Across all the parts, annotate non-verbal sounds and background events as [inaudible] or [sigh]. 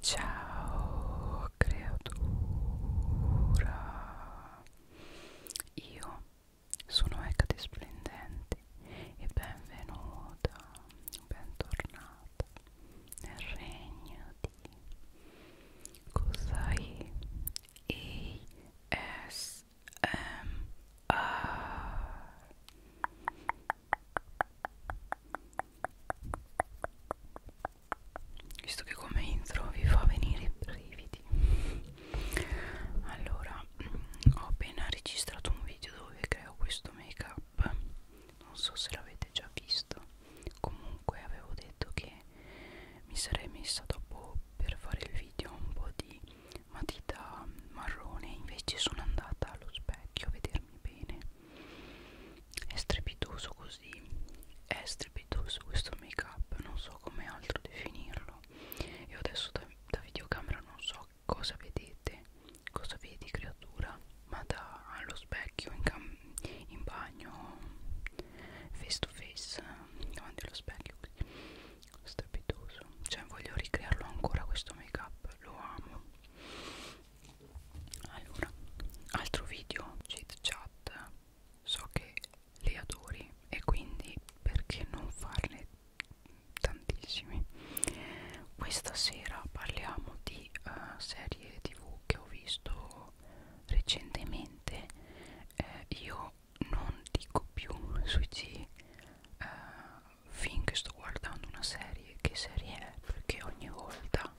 Ciao creatura, io sono Ecate Splendente e benvenuta, bentornata nel regno di Cosai ASMR visto che come intro vi fa venire i brividi allora mm, ho appena registrato un video dove creo questo make up non so se l'avete già visto comunque avevo detto che mi sarei messa dopo per fare il video un po' di matita marrone invece sono andata allo specchio a vedermi bene è strepitoso così è strepitoso questo make up non so come altro definirlo io adesso da, da videocamera non so cosa vedete cosa vedi creatura ma da allo specchio in, cam in bagno face to face davanti allo specchio così strepitoso cioè voglio ricrearlo ancora questo make up lo amo allora altro video chit chat so che le adori e quindi perché non farne tantissimi questa sera parliamo di uh, serie tv che ho visto recentemente eh, io non dico più sui G eh, finché sto guardando una serie che serie è perché ogni volta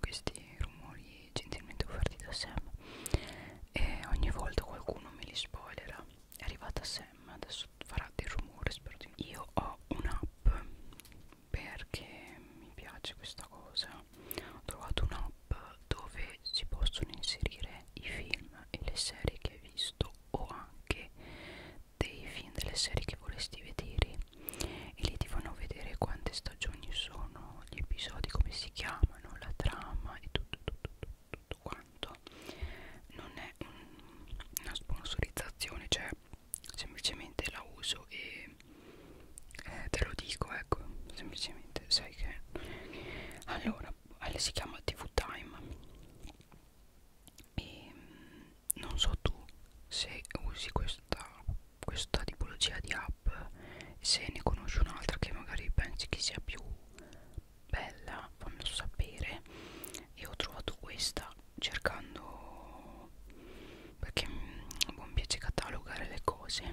questi rumori gentilmente offerti da Sam e ogni volta qualcuno me li spoilerà è arrivata Sam adesso farà del rumore spero di no. io ho un'app perché mi piace questa cosa ho trovato un'app dove si possono inserire i film e le serie che hai visto o anche dei film delle serie che vorresti vedere e lì ti fanno vedere quante stagioni sono gli episodi come si chiamano la trama e tutto tutto tutto, tutto quanto non è un, una sponsorizzazione cioè semplicemente la uso e eh, te lo dico ecco semplicemente sai che allora si chiama tv time e non so tu se usi questa, questa tipologia di app se ne conosci un'altra che magari pensi che sia più bella fammelo sapere e ho trovato questa cercando perché buon piace catalogare le cose [laughs]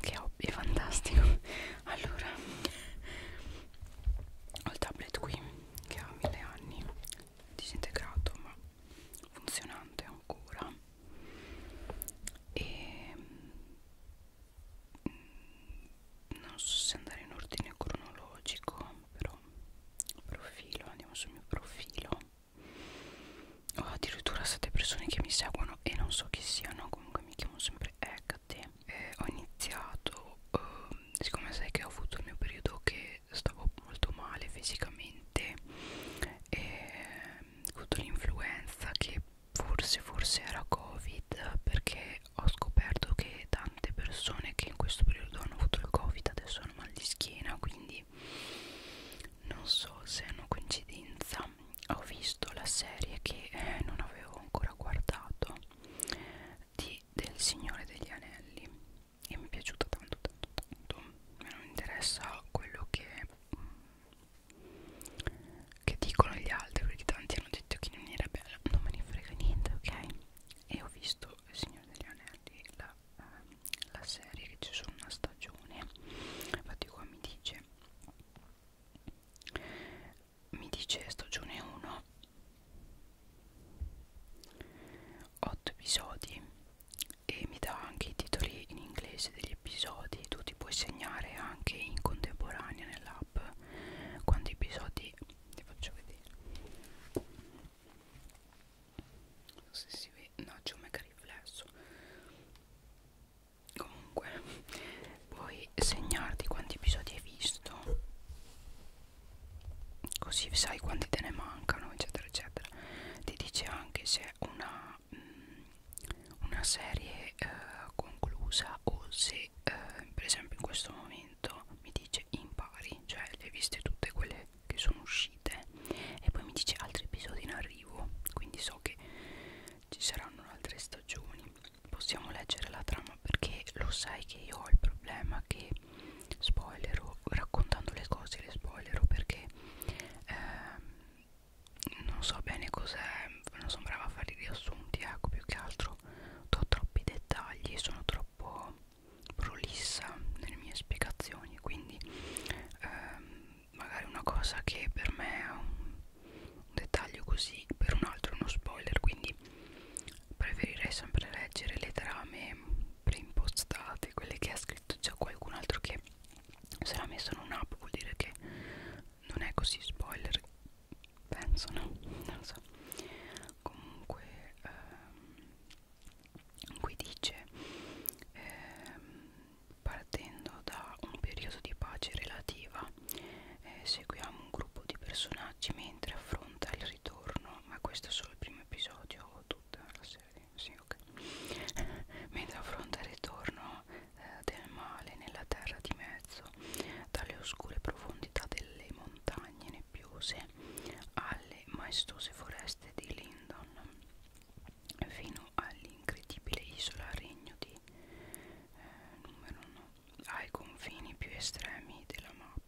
che hobby è fantastico [laughs] allora ho il tablet qui che ha mille anni disintegrato ma funzionante ancora e mm, non so se andare in ordine cronologico però profilo andiamo sul mio profilo ho oh, addirittura sette persone che mi seguono e non so chi siano comunque mi chiamo sempre Hecate eh, ho iniziato eh, siccome sai che ho avuto il mio periodo che stavo molto male fisicamente sotto l'influenza che forse forse era covid perché ho scoperto che tante persone che in questo periodo hanno avuto il covid adesso hanno mal di schiena quindi non so se è una coincidenza ho visto la serie che eh, non avevo ancora guardato di del Signore degli Anelli e mi è piaciuta tanto tanto tanto me non interessa quello che, mm, che dicono gli altri perché tanti hanno detto che non era bella non me ne frega niente ok e ho visto il Signore degli Anelli la, eh, la serie che c'è solo una stagione infatti qua mi dice mi dice stagione 1 8 episodi e mi dà anche i titoli in inglese degli episodi tu ti puoi segnare anche in contemporanea nell'app quanti episodi ti faccio vedere non so se si vede no c'è un mega riflesso comunque puoi segnarti quanti episodi hai visto così sai quanti te ne mancano eccetera eccetera ti dice anche se una, mh, mm, una serie eh, conclusa o se eh, per esempio in questo momento mi dice impari cioè le hai viste tutte quelle che sono uscite e poi mi dice altri episodi in arrivo quindi so che ci saranno altre stagioni possiamo leggere la trama perché lo sai che io ho il problema che spoilero raccontando le cose le spoilero perché ehm, non so bene cos'è non sono brava a fare i riassunti ecco più che altro ho troppi dettagli sono troppo prolissa nelle mie spiegazioni quindi ehm, magari una cosa che per me è un, un dettaglio così per un altro è uno spoiler quindi preferirei sempre leggere le trame preimpostate quelle che ha scritto già qualcun altro che se l'ha messo in un'app vuol dire che non è così spoiler penso no [laughs] non so comunque ehm, qui dice ehm, partendo da un periodo di pace relativa eh, seguiamo un gruppo di personaggi mentre affronta il ritorno ma questo è solo il primo episodio o tutta la serie sì ok [laughs] mentre affronta il ritorno eh, del male nella terra di mezzo dalle oscure profondità delle montagne nebbiose alle maestose foreste di Lindon fino all'incredibile isola regno di eh, numero 9 ai confini più estremi della mappa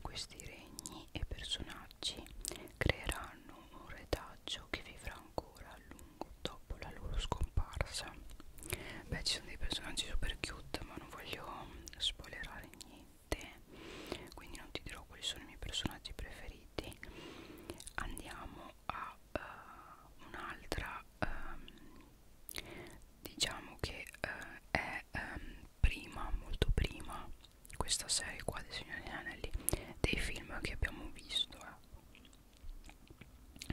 questi regni e personaggi creeranno un retaggio che vivrà ancora a lungo dopo la loro scomparsa. Beh, ci sono dei personaggi super cute, ma non voglio spoilerare niente, quindi non ti dirò quali sono i miei personaggi preferiti. Andiamo a uh, un'altra um, diciamo che eh, è ehm, prima, molto prima questa serie qua dei Signori degli Anelli dei film che abbiamo visto eh.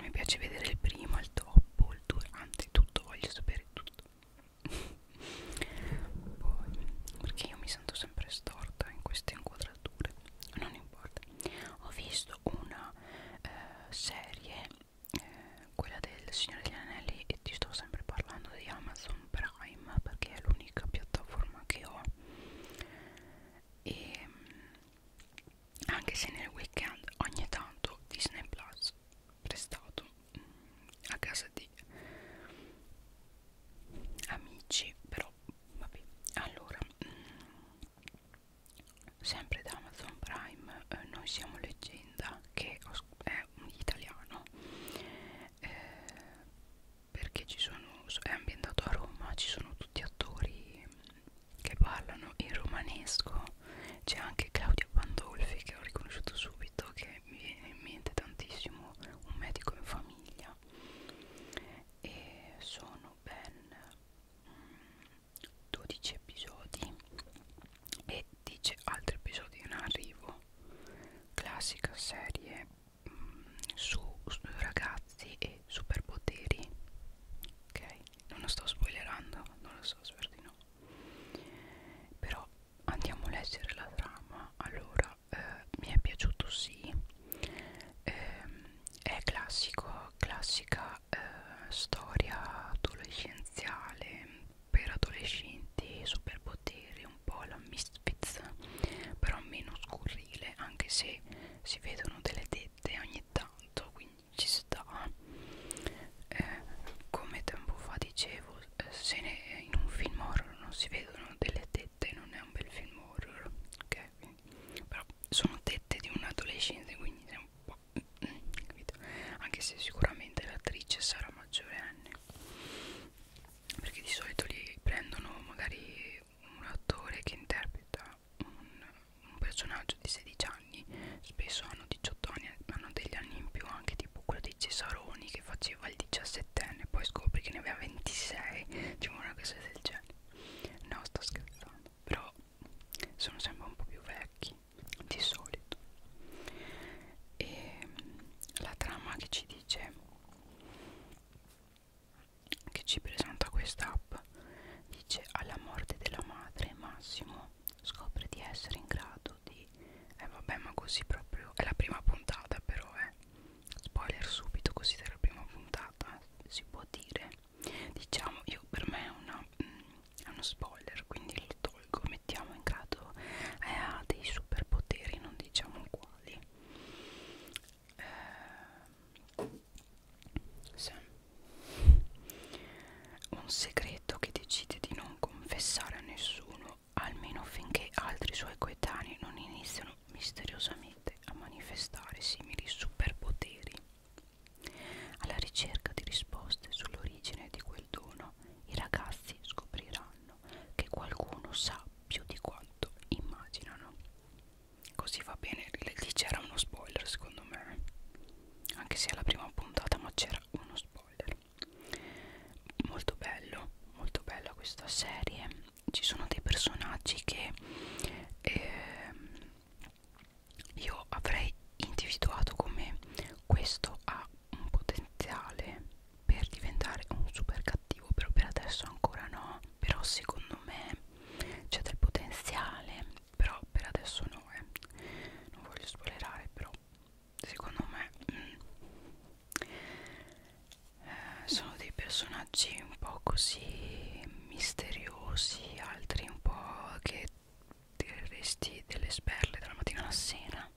mi piace vedere il prima, il dopo, il durante, tutto, voglio sapere tutto [laughs] poi perché io mi sento sempre storta in queste inquadrature non importa ho visto una eh, serie eh, quella del Signore degli Anelli e ti sto sempre parlando di Amazon Prime perché è l'unica piattaforma che ho e ehm, anche se nel weekend ogni tanto Disney Plus prestato mm, a casa di amici però vabbè allora mm, sempre da Amazon Prime eh, noi siamo leggeri azienda che è italiano eh, perché ci sono, è ambientato a Roma, ci sono tutti attori che parlano in romanesco, c'è anche Claudia Pandolfi che ho riconosciuto subito, che mi viene in mente tantissimo, un medico in famiglia e sono ben 12 mm, episodi e dice altri episodi in arrivo classica serie mh, mm, su, su ragazzi e superpoteri ok non lo sto spoilerando non lo so spero di no però andiamo a leggere la trama allora eh, mi è piaciuto sì eh, è classico classica eh, storia adolescenziale per adolescenti superpoteri un po' la misfits però meno scurrile anche se si vedono delle tette ogni tanto quindi ci sta eh, come tempo fa dicevo eh, se ne, in un film horror non si vedono delle tette non è un bel film horror ok quindi, però sono tette di un adolescente quindi è un roba capito? anche se sicuramente l'attrice sarà maggiorenne perché di solito li prendono magari un attore che interpreta un, un personaggio di 16 anni spesso hanno 18 anni hanno degli anni in più anche tipo quello di Cesaroni che faceva il 17enne poi scopri che ne aveva 26 diciamo una cosa del genere no sto scherzando però sono sempre un po' più vecchi di solito e la trama che ci dice che ci presenta questa app dice alla morte della madre Massimo scopre di essere in grado di eh vabbè ma così proprio è la prima puntata però eh spoiler subito così della prima puntata si può dire diciamo io per me è una mh, mm, è uno spoiler quindi lo tolgo mettiamo in caso eh, ha dei superpoteri non diciamo quali eh, sì. un segreto che decide di non confessare a nessuno almeno finché altri suoi coetanei non iniziano misteriosamente a manifestare simili superpoteri alla ricerca di risposte sull'origine di quel dono, i ragazzi scopriranno che qualcuno sa più di quanto immaginano. Così va bene, lì c'era uno spoiler secondo me, anche se alla prima puntata ma c'era uno spoiler. Molto bello, molto bella questa serie, ci sono dei personaggi che... Eh, io avrei individuato come questo ha un potenziale per diventare un super cattivo però per adesso ancora no però secondo me c'è del potenziale però per adesso no eh. non voglio spoilerare però secondo me mm, eh, sono dei personaggi un po' così misteriosi altri un po' che tireresti delle sberle dalla mattina alla sera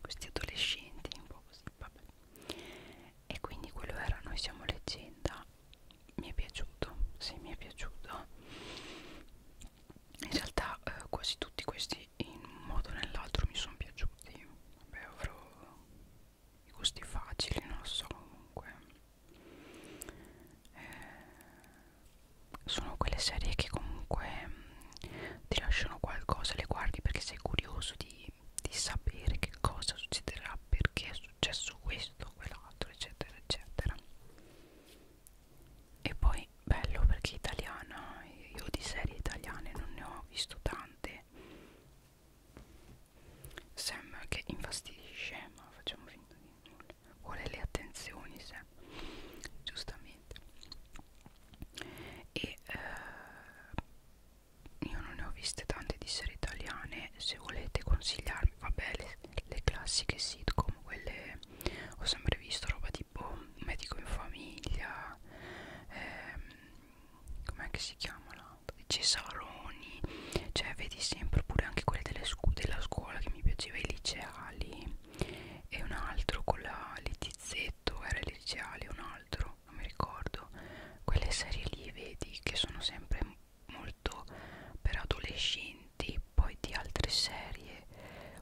questi adolescenti un po' così vabbè e quindi quello era noi siamo leggenda mi è piaciuto sì mi è piaciuto in realtà eh, quasi tutti questi in un modo o nell'altro mi sono piaciuti vabbè avrò i gusti facili non lo so comunque eh, sono quelle serie che comunque mh, mm, ti lasciano qualcosa, le guardi perché sei curioso di, di sapere che cosa succederà, perché è successo questo, quell'altro, eccetera, eccetera. E poi bello perché italiana, io di serie italiane non ne ho visto tante. Sembra che infastidisce, ma facciamo finta di nulla vuole le attenzioni se giustamente e eh, io non ne ho viste tante di serie italiane se volete consigliarmi vabbè le, le classiche sitcom quelle ho sempre visto roba tipo medico in famiglia ehm, com'è che si chiama l'altro Cesaroni cioè vedi sempre pure anche quelle delle scu della scuola che mi piaceva i liceali e un altro con la Letizzetto, era Letiziale un altro, non mi ricordo quelle serie lì vedi che sono sempre molto per adolescenti poi di altre serie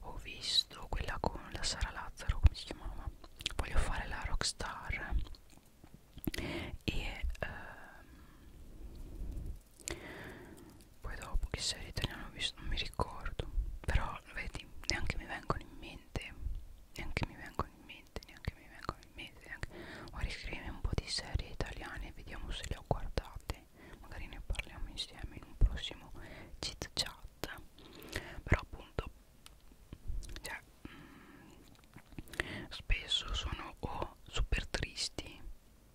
ho visto quella con la Sara Lazzaro come si chiamava voglio fare la rockstar e ehm, poi dopo che serie italiana ho visto non mi ricordo però vedi neanche mi vengono in mente neanche mi vengono in mente neanche mi vengono in mente neanche... ora scrivimi un po' di serie italiane e vediamo se le ho guardate magari ne parliamo insieme in un prossimo chit chat però appunto cioè, mh, mm, spesso sono o super tristi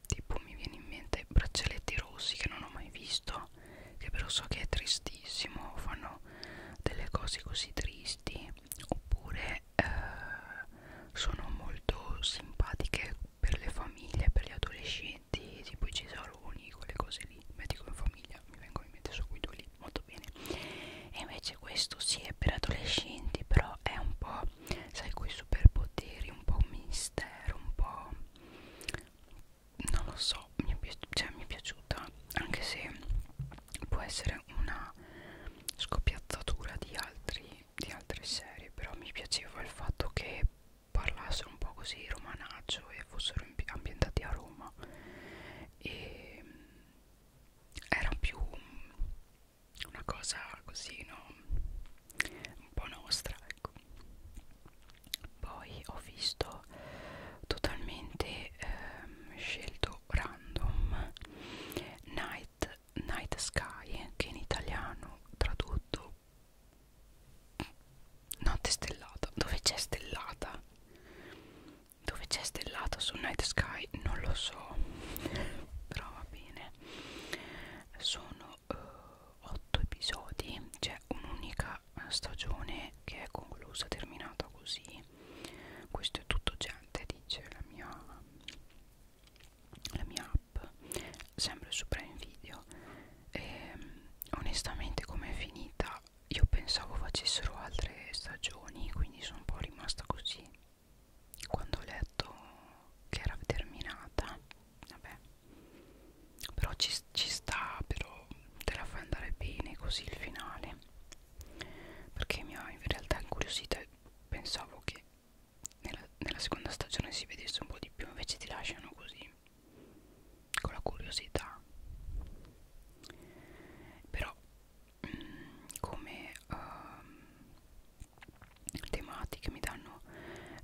tipo mi viene in mente braccialetti rossi che non ho mai visto che però so che è tristissimo fanno delle cose così tristi oppure eh, sono molto simpatiche per le famiglie per gli adolescenti tipo i cesaroni quelle cose lì medico in famiglia mi vengono in mente subito lì molto bene e invece questo sì è per adolescenti però è un po' sai quei superpoteri un po' misti mistero un po' non lo so mi è, cioè, mi è piaciuta anche se può essere una scoppiazzatura di, altri, di altre serie però mi piaceva il fatto che parlassero un po' così romanaccio e fossero ambientati a Roma e era più una cosa così no un po' nostra ecco poi ho visto totalmente ehm, scelto random Night, Night Sky che in italiano tradotto notte stellata dove c'è stellata dove c'è stellata su Night Sky non lo so [laughs] però va bene sono eh, 8 episodi c'è un'unica eh, stagione che è conclusa terminata così questo è tutto gente dice la mia la mia app sempre su Prime Video e, ehm, onestamente come è finita io pensavo facessero altre stagioni quindi sono un po' rimasta così quando ho letto che era terminata vabbè però ci, ci sta però te la fai andare bene così il finale perché mi ha in realtà incuriosita pensavo che nella, nella seconda stagione si vedesse un po' di più invece ti lasciano così con la curiosità però mm, come um, tematiche mi danno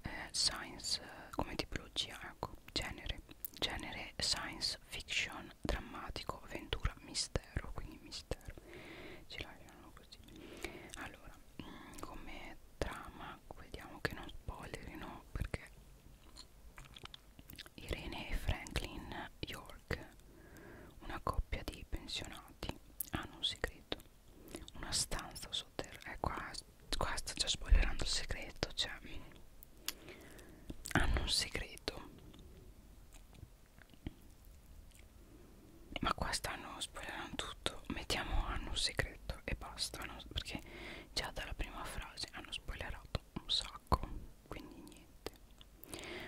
eh, science eh, come tipologia ecco genere genere science fiction drammatico avventura mistero quindi mistero ci lasciano così allora mm, come trama vediamo che non spoilerino perché Irene e Franklin York una coppia di pensionati hanno un segreto una stanza sotterranea. Eh, qua, qua sto già spoilerando il segreto. Cioè, hanno un segreto. Ma qua stanno spoilerando tutto. Mettiamo hanno un segreto e basta. No? Perché già dalla prima frase hanno spoilerato un sacco. Quindi niente.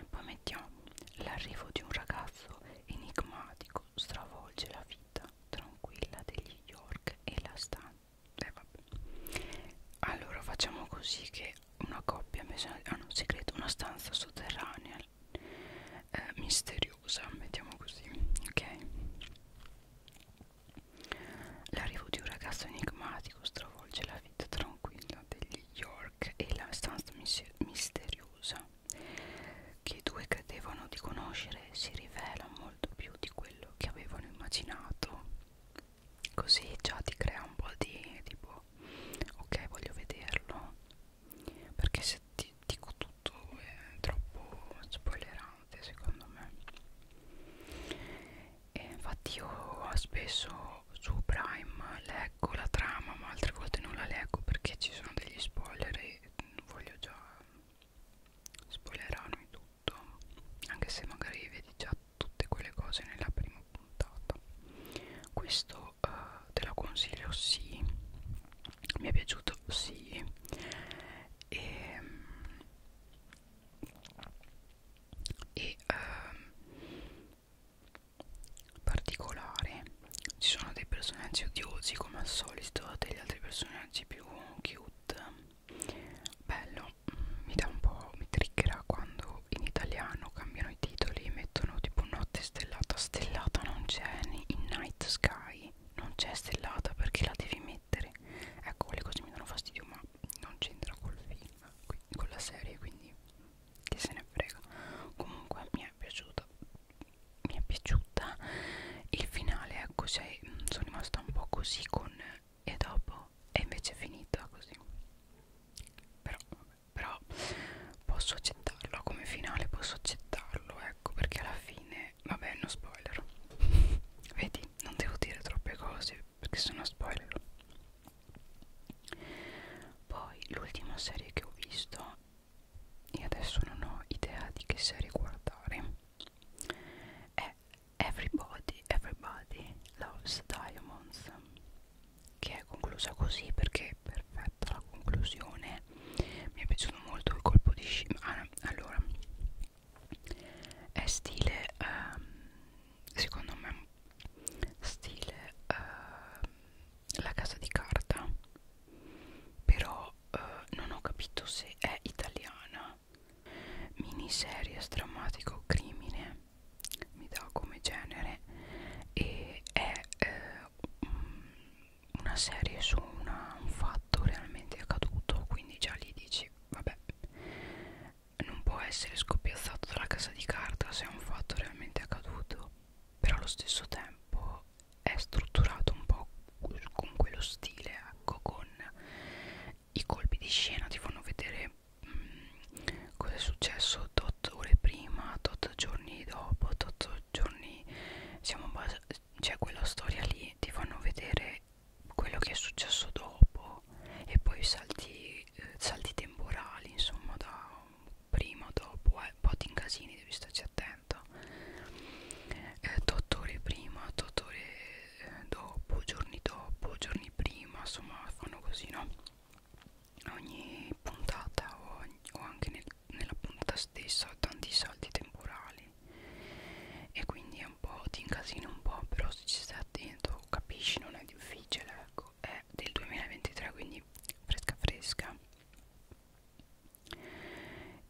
Poi mettiamo l'arrivo di un ragazzo enigmatico stravolge la vita tranquilla degli York e la stanza eh, allora facciamo così che una coppia ha messo ah, un segreto una stanza sotterranea eh, misteriosa mettiamo così ok l'arrivo di un ragazzo enigmatico stravolge la vita tranquilla degli York e la stanza misteriosa che i due credevano di conoscere si rivela molto più di quello che avevano immaginato così già ti crea un po' di tipo ok voglio vederlo perché se ti dico tutto è troppo spoilerante secondo me e infatti io spesso su Prime leggo la trama ma altre volte non la leggo perché ci sono degli spoiler e voglio già spoilerano e tutto anche se magari vedi già tutte quelle cose nella prima puntata questo eh, te lo consiglio sì mi è piaciuto sì ehm, e, e eh, particolare ci sono dei personaggi odiosi come al solito degli altri personaggi più cute bello mi dà un po' mi triggerà quando in italiano cambiano i titoli e mettono tipo notte stellata stellata non c'è in night sky non c'è stellata perché la devi mettere ecco le cose mi danno fastidio ma non c'entra col film con la serie quindi chi se ne frega comunque mi è piaciuta mi è piaciuta il finale ecco cioè, sono rimasta un po' così con e dopo è invece finita così però, però posso accettarlo come finale posso accettarlo ecco perché alla fine vabbè non spoiler [laughs] vedi non devo dire troppe cose perché sono spoiler poi l'ultima serie che ho visto e adesso non ho idea di che serie guardare è Everybody, Everybody Loves Diamonds che è conclusa così perché è perfetta la conclusione mi è piaciuto molto il colpo di scena ah, allora è stile um, secondo me stile uh, la casa di carta però eh, non ho capito se è italiana miniserie strammatico crimine mi dà come genere e è eh, mm, una serie su una, un fatto realmente accaduto quindi già lì dici vabbè non può essere scoppiazzato dalla casa di carta se è un fatto realmente accaduto però allo stesso tempo è strutturato un po' con quello stile, ecco, con i colpi di scena ti fanno vedere mh, mm, cosa è successo tot ore prima, tot giorni dopo, tot giorni siamo cioè quella storia lì ti fanno vedere quello che è successo dopo e poi salti, eh, salti temporali insomma da prima o dopo eh, un po' ti incasini devi starci attento eh, 8 ore prima 8 ore eh, dopo giorni dopo giorni prima insomma fanno così no ogni puntata o, o anche nel, nella puntata stessa ho tanti salti temporali e quindi è un po' ti incasini un po' però se ci stai attento capisci non è difficile ecco è del 2023 quindi fresca fresca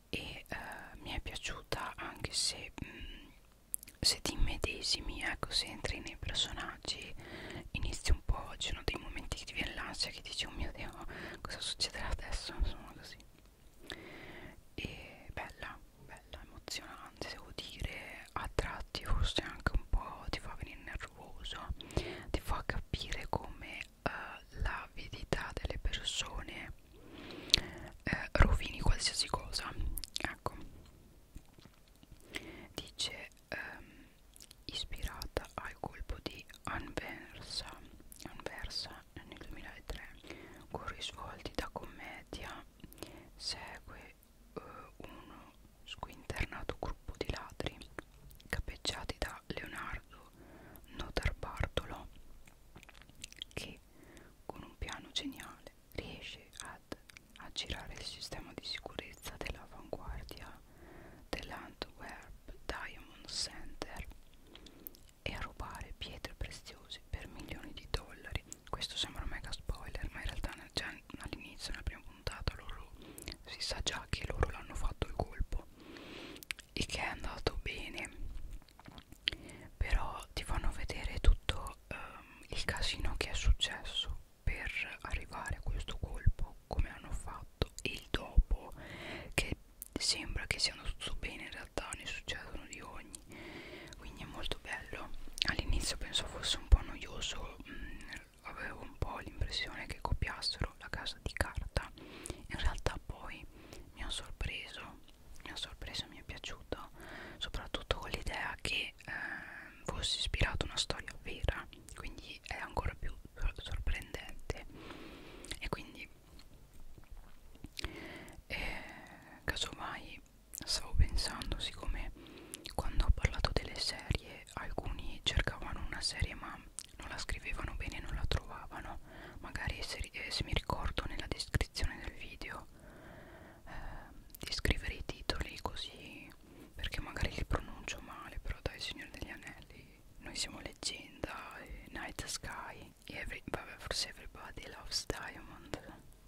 e eh, mi è piaciuta anche se, mh, mm, se ti immedesimi, ecco, se entri nei personaggi inizi un po', ci sono dei momenti che ti viene l'ansia che dici oh mio dio cosa succederà adesso, insomma così e bella, bella, emozionante devo dire, a tratti forse anche un po' ti fa venire nervoso ti fa capire come eh, l'avidità delle persone eh, rovini qualsiasi cosa ecco dice ehm, ispirata al colpo di Anversa, Anversa nel 2003 con risvolti da commedia segue eh, uno squinternato gruppo di ladri capeggiati da Leonardo caso Notar Bartolo che con un piano geniale riesce ad aggirare il sistema di sicurezza dell'avanguardia dell'Antwerp Diamond Center e a rubare pietre preziose per milioni di dollari questo sembra un mega spoiler ma in realtà già all'inizio nella prima puntata loro si sa già che loro l'hanno fatto il colpo e che è andato bene però ti fanno vedere tutto um, il casino che è successo per arrivare a questo colpo come hanno fatto e il dopo che sembra che sia andato bene in realtà ne succedono di ogni quindi è molto bello all'inizio penso fosse un po' noioso mh, mm, avevo un po' l'impressione che copiassero la casa di carta in realtà realtà poi mi ha sorpreso mi ha sorpreso mi è piaciuto soprattutto con l'idea che eh, fosse ispirata una storia vera quindi è ancora più sor sorprendente e quindi eh, casomai stavo pensando siccome quando ho parlato delle serie alcuni cercavano una serie ma non la scrivevano bene e non la trovavano magari se, eh, se mi ricordo nella descrizione del video eh, di scrivere i titoli così perché magari li pronuncio male però dai Signore degli Anelli noi siamo leggenda eh, Night Sky every, vabbè forse Everybody Loves Diamond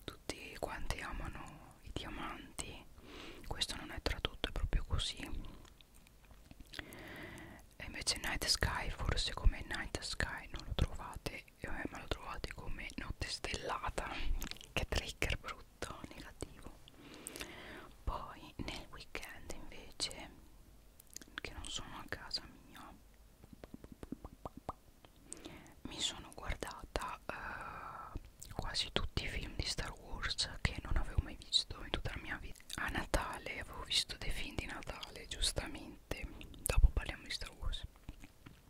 tutti quanti amano i diamanti questo non è tradotto è proprio così e invece Night Sky forse come Night Sky non lo trovate eh, ma lo trovate come Notte Stellata che trigger brutto, negativo poi nel weekend invece che non sono a casa mia mi sono guardata eh, quasi tutti i film di Star Wars che non avevo mai visto in tutta la mia vita video a Natale avevo visto dei film di Natale giustamente dopo parliamo di Star Wars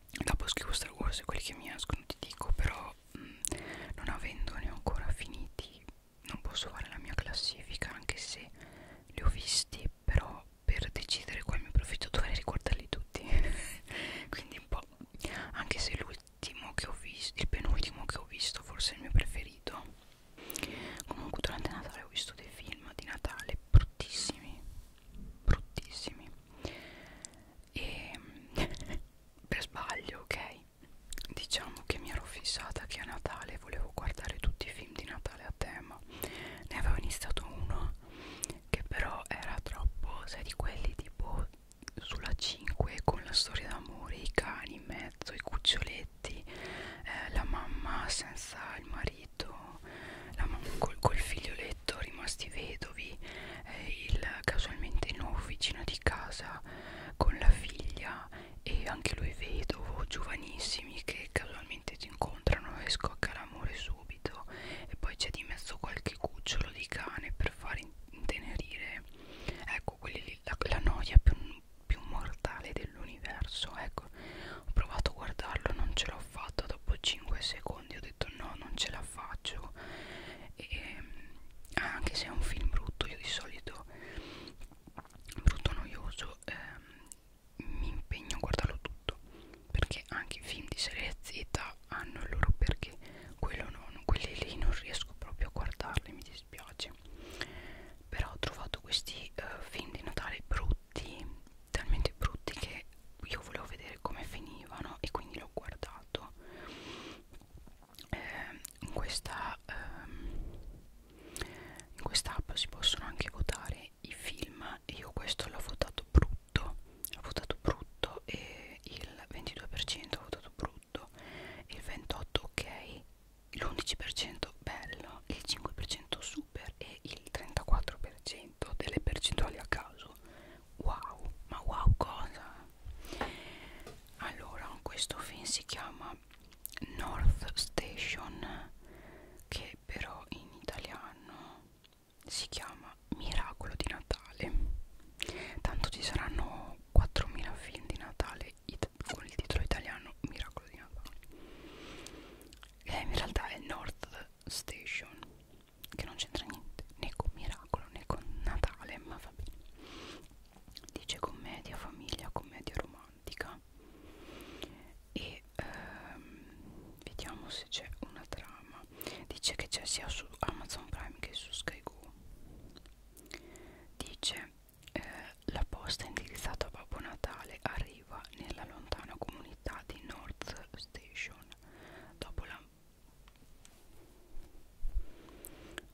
dopo scrivo Star Wars e quelli che mi escono ti dico però mh, mm, non avendone ancora finiti non posso fare la mia classifica anche se li ho visti però per decidere qual mi profitto dovrei ricordarli tutti [laughs] quindi un po' anche se l'ultimo che ho visto il penultimo che ho visto forse è il mio preferito comunque durante Natale ho visto dei film di Natale bruttissimi bruttissimi e [laughs] per sbaglio ok diciamo che mi ero fissata che a Natale volevo guardare tutti i film di Natale a tema ne avevo iniziato uno che però era troppo sai di quelli tipo sulla 5 con la storia d'amore i cani in mezzo i cuccioletti soggetti, eh, la mamma senza il marito, la mamma col, col figlioletto rimasti vedovi, eh, il casualmente il nuovo vicino di casa con la figlia e anche lui vedovo, giovanissimi che casualmente si incontrano e scocca l'amore subito e poi c'è di mezzo qualche cucciolo di cane per far intenerire ecco quelli la, la noia più, più mortale dell'universo ecco ho provato a guardarlo non ce l'ho fatta dopo 5 secondi ho detto no non ce la faccio e, ah, anche se è un film brutto io di solito brutto noioso ehm, mi impegno a guardarlo tutto perché anche i film di serie Z hanno il loro perché quello non quelli lì non riesco proprio a guardarli mi dispiace dispiace però ho trovato questi uh, film di Natale brutti talmente brutti che io volevo vedere come finivano e quindi l'ho guardato eh, in questa eh, in quest'app si possono anche votare i film e io questo l'ho votato brutto l'ho votato brutto e il 22% ho votato brutto il 28 ok l'11% bello, il 5% super e il 34% delle percentuali a caso. Wow, ma wow cosa? Allora, questo film si chiama North Station che però in italiano si chiama Miracolo di Natale. Tanto ci saranno 4000 film di Natale con il titolo italiano Miracolo di Natale che in realtà è North Station che non c'entra niente né con Miracolo né con Natale ma va bene dice commedia famiglia commedia romantica e ehm, vediamo se c'è una trama dice che c'è sia su Amazon Prime che su Sky Go dice eh, la posta indirizzata a Babbo Natale arriva nella lontana comunità di North Station dopo la,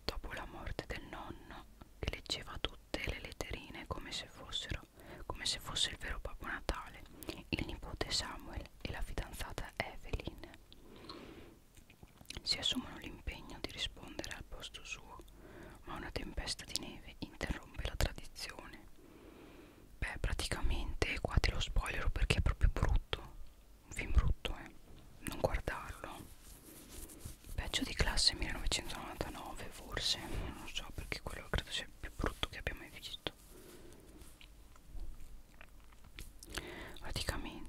dopo la morte del nonno che leggeva tutte le letterine come se fossero come se fosse il vero Babbo Natale, il nipote Samuel e la fidanzata Evelyn si assumono l'impegno di rispondere al posto suo ma una tempesta di neve interrompe la tradizione. Beh, praticamente qua te lo spoilero perché è proprio brutto. Un film brutto, eh. Non guardarlo. Peggio di classe 1999, forse. Non so perché quello credo sia il più brutto che abbia mai visto. Praticamente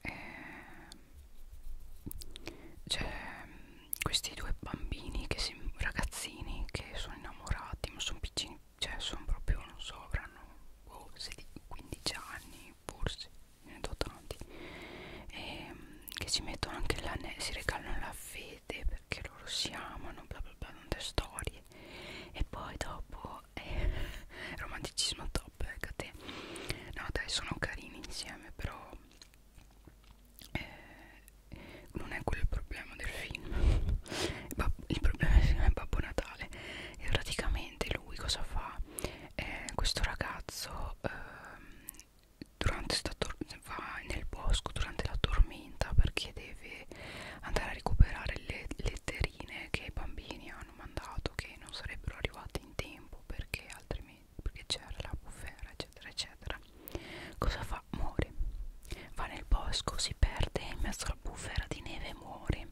eh, c'è mm, questi due bambini che si, ragazzini che sono innamorati ma sono piccini cioè sono proprio non so avranno oh, 15 anni forse ne do tanti e, ehm, che si mettono anche l'anello si regalano la fede perché loro si amano bla bla bla tante storie e poi dopo eh, [laughs] romanticismo top Fleabag ecco te no dai sono carini insieme però eh, non è quello il problema del film [laughs] il problema del film è Babbo Natale e praticamente lui cosa fa? Eh, questo ragazzo eh, durante sta va nel bosco durante la tormenta perché deve andare a recuperare le letterine che i bambini hanno mandato che non sarebbero arrivate in tempo tempo perché altrimenti perché c'era la bufera eccetera eccetera cosa fa? muore va nel bosco, si perde in mezzo alla bufera di neve e muore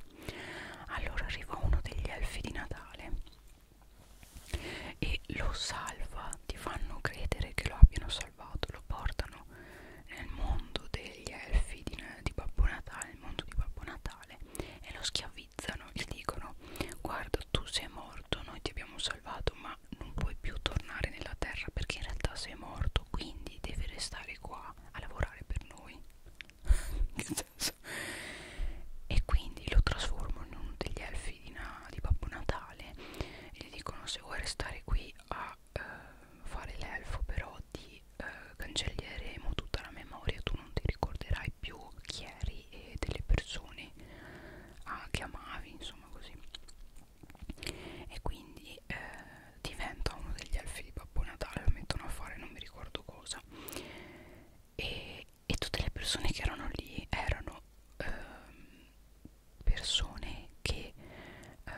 allora arriva uno degli elfi di Natale e lo salva ti fanno credere che lo abbiano salvato lo portano nel mondo degli elfi di, di Babbo Natale nel mondo di Babbo Natale e lo schiaffeggiano schiavizzano, gli dicono guarda tu sei morto, noi ti abbiamo salvato ma non puoi più tornare nella terra perché in realtà sei morto, quindi devi restare qua a lavorare per noi. [laughs] che senso? E quindi lo trasformano in uno degli elfi di, na, di Babbo Natale e gli dicono se vuoi restare qui a eh, fare l'elfo però di eh, cancelleremo tutta la memoria tu non ti ricorderai più chi eri e delle persone ah, che amavi insomma così e quindi eh, diventa uno degli elfi di Babbo Natale lo mettono a fare non mi ricordo cosa e, e tutte le persone che erano lì erano eh, persone che eh,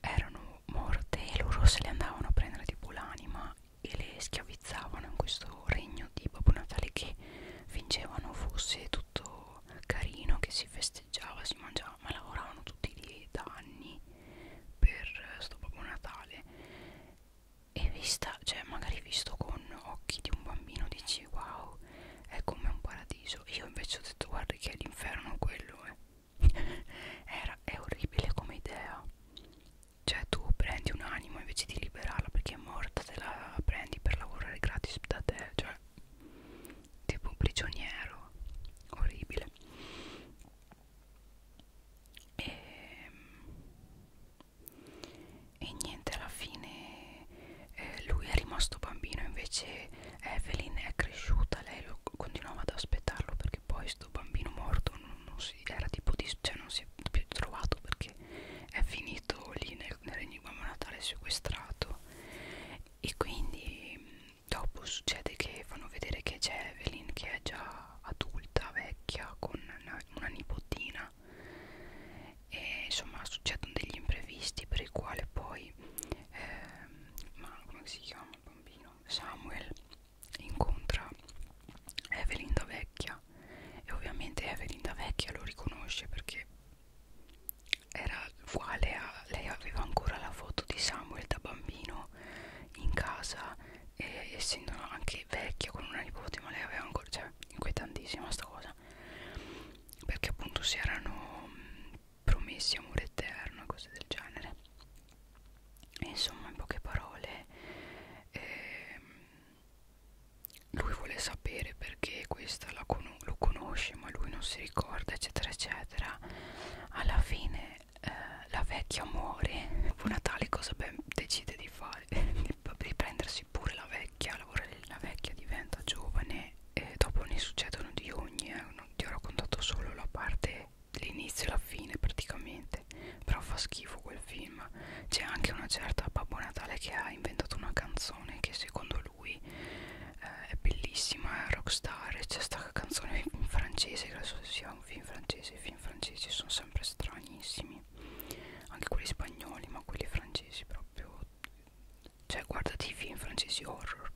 erano morte e loro se le andavano a prendere tipo l'anima e le schiavizzavano in questo regno di Babbo Natale che fingevano fosse tutto carino, che si festeggiava, si mangiava, ma lavoravano tutti lì da anni per sto Babbo Natale e vista, cioè magari visto con occhi di un bambino dici wow è come un paradiso io invece ho detto guarda che è l'inferno quello eh. [laughs] Era, è orribile come idea cioè tu prendi un'anima invece di liberarla perché è morta te la prendi per lavorare gratis da te cioè tipo un prigioniero orribile e, ehm, e niente alla fine eh, lui è rimasto bambino invece Evelyn è cresciuta lei lo continuava ad aspettarlo per che poi sto bambino morto non, non si era tipo di, cioè non si è più trovato perché è finito lì nel, nell'enigma natale sequestrato e quindi mm, dopo succede che fanno vedere che c'è Evelyn che è già adulta, vecchia, con una, una nipotina e insomma succedono degli imprevisti per il quale poi eh, ma come si chiama il bambino? Samuel incontra Evelyn da vecchia e ovviamente Evelyn da vecchia lo riconosce perché era uguale a lei aveva ancora la foto di Samuel da bambino in casa e essendo anche vecchia con una nipote ma lei aveva ancora cioè inquietantissima sta cosa perché appunto si erano mm, promessi amore eterno e cose del genere e insomma in poche parole ehm, lui vuole sapere perché questa la con lo conosce ma lui non si ricorda eccetera eccetera alla fine eh, la vecchia muore dopo [laughs] Natale cosa ben decide di fare di [laughs] prendersi pure la vecchia lavora la vecchia diventa giovane e dopo ne succedono di ogni eh, non ti ho raccontato solo la parte l'inizio e la fine praticamente però fa schifo quel film c'è anche una certa Babbo Natale che ha inventato una canzone che secondo lui eh, è bellissima, è rockstar c'è sta canzone in francese che adesso sia un film francese i film francesi sono sempre stranissimi anche quelli spagnoli ma quelli francesi proprio cioè guardati i film francesi horror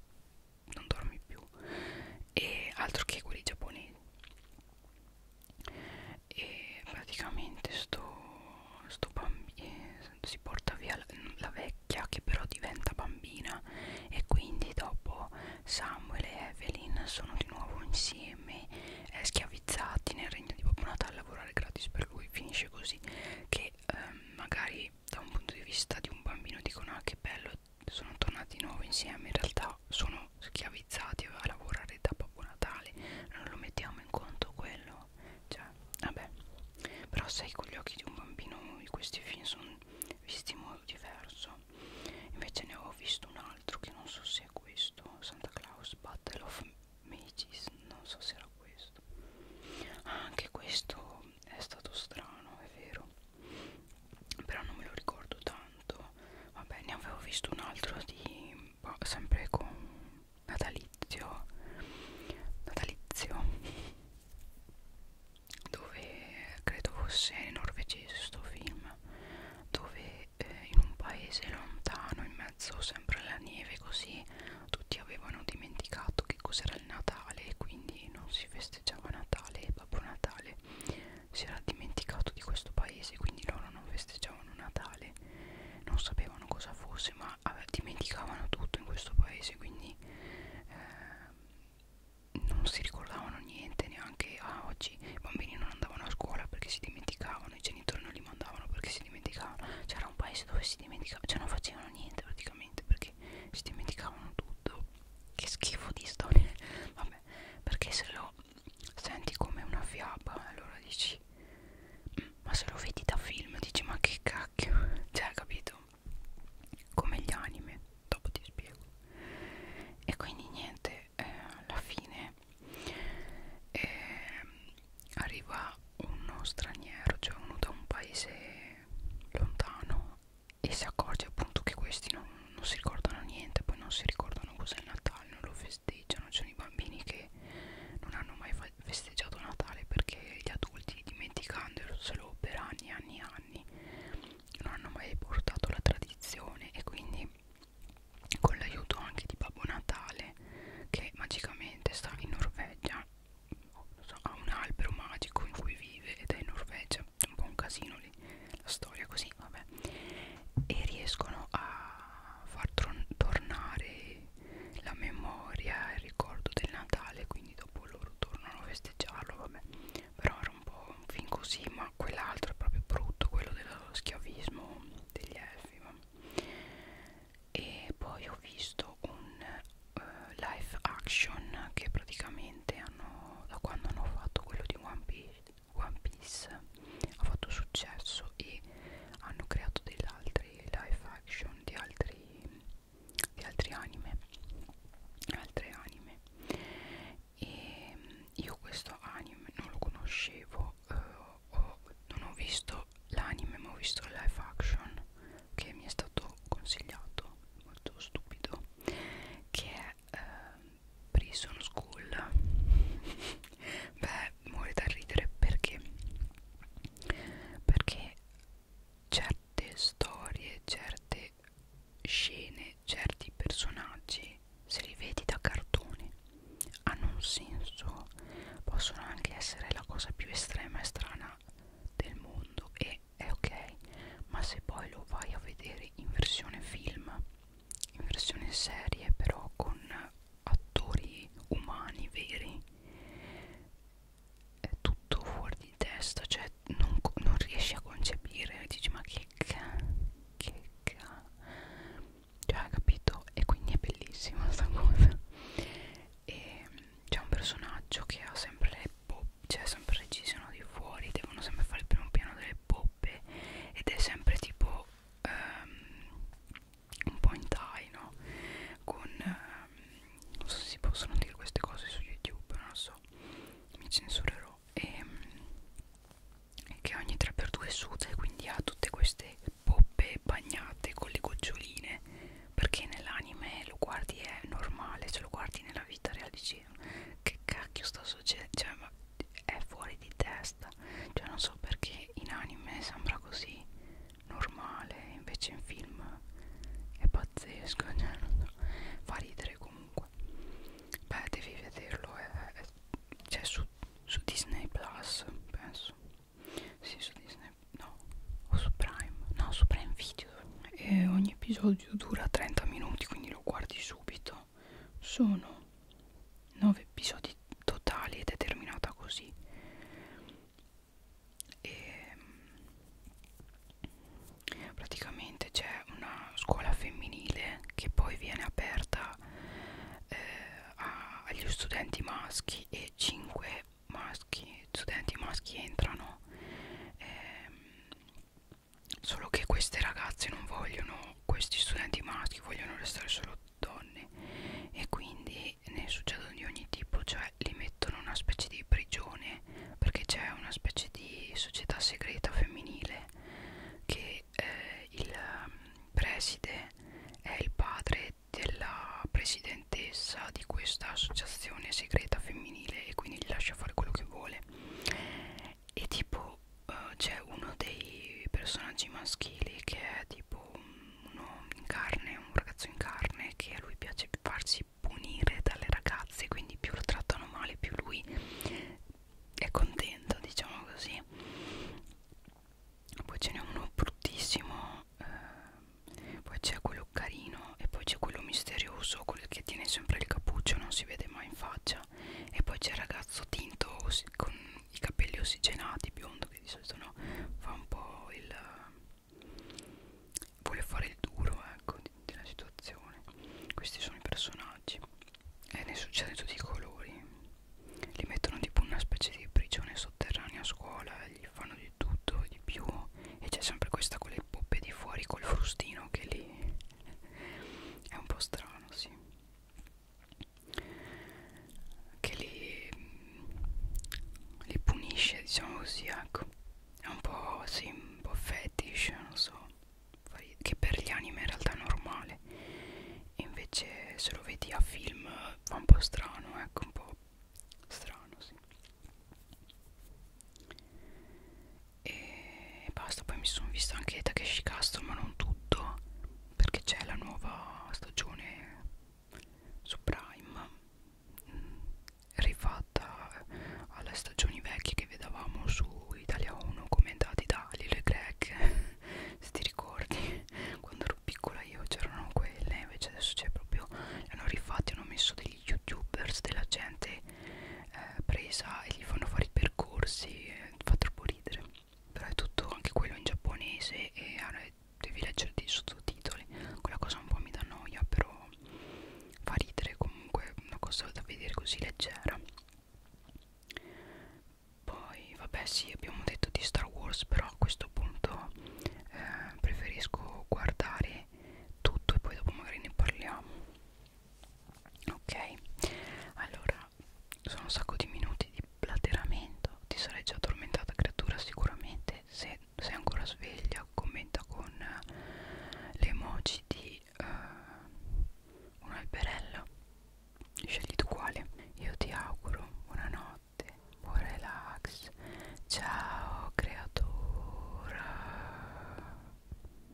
non dormi più e altro che quelli giapponesi e praticamente sto, sto bambino si porta via la, la vecchia che però diventa bambina e quindi dopo Samuel e Evelyn sono di nuovo insieme eh, schiavizzati nel regno di Babbo Natale a lavorare gratis per lui finisce così che ehm, magari da un punto di vista di un bambino dicono ah che bello sono tornati di nuovo insieme in realtà sono siamo schiavizzati a lavorare da Babbo Natale non lo mettiamo in conto quello cioè vabbè però sai con gli occhi di un bambino questi film sono visti in modo diverso invece ne ho visto un altro che non so se è questo Santa Claus Battle of Mages non so se era questo ah, anche questo è stato strano è vero però non me lo ricordo tanto vabbè ne avevo visto un altro di boh, sempre con natalizio natalizio dove credo fosse norvegese sto film dove eh, in un paese lontano in mezzo sempre alla neve così tutti avevano dimenticato che cos'era il Natale quindi non si festeggiava Natale e Babbo Natale si era dimenticato di questo paese quindi loro non festeggiavano Natale non sapevano cosa fosse ma vabbè, dimenticavano tutto in questo paese quindi eh, non si ricordavano niente neanche ah, oggi i bambini non andavano a scuola perché si dimenticavano i genitori non li mandavano perché si dimenticavano c'era un paese dove si dimenticavano cioè non facevano niente praticamente perché si dimenticavano tutto che schifo di storia vabbè perché se lo senti come una fiaba allora dici mm, ma se lo vedi da film dici ma che cacchio [laughs] cioè capito come gli anime dopo ti spiego e quindi niente eh, alla fine eh, arriva uno straniero cioè uno da un paese lontano e si accorge appunto che questi non non si ricordano niente, poi non si ricordano cos'è il Natale, non lo festeggiano, ci sono i bambini che non hanno mai festeggiato Natale perché gli adulti dimenticandoselo per anni e anni e anni non hanno mai portato la tradizione e quindi con l'aiuto anche di Babbo Natale che magicamente sta in Norvegia ha un albero magico in cui vive ed è in Norvegia un po' un casino lì la storia così vabbè e riescono a far tornare la memoria il ricordo del Natale quindi dopo loro tornano a festeggiarlo vabbè però era un po' un film così ma quell'altro è proprio brutto quello dello schiavismo degli elfi vabbè. e poi ho visto un uh, live action che praticamente hanno da quando hanno fatto quello di One Piece One Piece ha fatto successo e hanno creato degli altri live action di altri, di altri anime altre anime e mm, io questo anime non lo conoscevo eh, ho, non ho visto l'anime ma ho visto il live action che mi è stato consigliato molto stupido che è eh, Prison School [laughs] beh muore da ridere perché perché certe storie certe scene certi personaggi se li vedi da cartone hanno un senso possono anche essere la cosa più estrema e strana del mondo e è ok ma se poi lo vai a vedere in versione film in versione serie però con attori umani veri è tutto fuori di testa cioè non, non riesci a concepire dici ma che ca che ca cioè capito e quindi è bellissima sta cosa e c'è un personaggio che ha sempre le boh, cioè sempre ci sono di fuori devono sempre fare il primo piano delle delle poppe ed è sempre tipo um, un po' in tie, no? Con, um, non so se si possono dire queste cose su YouTube, non lo so, mi censurerò. E um, che ogni 3x2 suda e quindi ha tutte queste poppe bagnate con le goccioline, perché nell'anime lo guardi è normale, se cioè lo guardi nella vita reale dici che cacchio sta succedendo, cioè ma è fuori di testa cioè non so perché in anime sembra così normale invece in film è pazzesco [laughs] cioè non so. fa ridere comunque beh devi vederlo è, è, cioè su, su Disney Plus penso sì su Disney no o su Prime no su Prime Video e ogni episodio dura 30 minuti quindi lo guardi subito detto ecco, sono 9 episodi totali ed è terminata così e ehm, praticamente c'è una scuola femminile che poi viene aperta eh, a, agli studenti maschi e 5 maschi studenti maschi entrano eh, Solo che queste ragazze non vogliono, questi studenti maschi vogliono restare solo donne e quindi ne succedono di ogni tipo, cioè li mettono in una specie di prigione perché c'è una specie di società segreta femminile che eh, il mm, preside è il padre della presidentessa di questa associazione segreta femminile e quindi gli lascia fare quello che vuole e tipo uh, c'è uno dei personaggi maschili che è tipo uno in carne, un ragazzo in carne che a lui piace farsi punire dalle ragazze quindi più lo trattano male più lui è contento diciamo così poi ce n'è uno bruttissimo eh, poi c'è quello carino e poi c'è quello misterioso quello che tiene sempre il cappuccio non si vede mai in faccia e poi c'è il ragazzo tinto con i capelli ossigenati biondo che di solito no fa un po' il vuole fare il duro ecco della situazione questi sono i personaggi e ne succede tutti i colori li mettono tipo una specie di prigione sotterranea a scuola gli fanno di tutto di più e c'è sempre questa con le poppe di fuori col frustino che li è un po' strano, sì che li, li punisce, diciamo così, ecco è un po', sì, un po' fetish, non so che per gli anime in realtà è normale e invece se lo vedi a film fa un po' strano, ecco, un po' strano, sì e basta poi mi sono vista anche Takeshi Castle ma non tutto perché c'è la nuova stagione su Prime mm, rifatta alle stagioni vecchie che vedevamo su Italia 1 commentati da Lilo e Greg [laughs] se ti ricordi quando ero piccola io c'erano quelle invece adesso c'è proprio le hanno rifatti hanno messo degli youtubers della gente eh, presa e gli fanno fare i percorsi eh, fa troppo ridere però è tutto anche quello in giapponese e eh, devi leggere dei sottotitoli quella cosa un po' mi dà noia però fa ridere comunque una cosa da vedere così leggera poi vabbè sì abbiamo detto di Star Wars però a questo punto eh, preferisco guardare tutto e poi dopo magari ne parliamo ok allora sono un sacco di minuti di plateramento ti sarai già addormentata creatura sicuramente se sei ancora sveglia commenta con eh, le emoji di uh, un alberello scegli tu quale io ti auguro buonanotte buon relax ciao creatura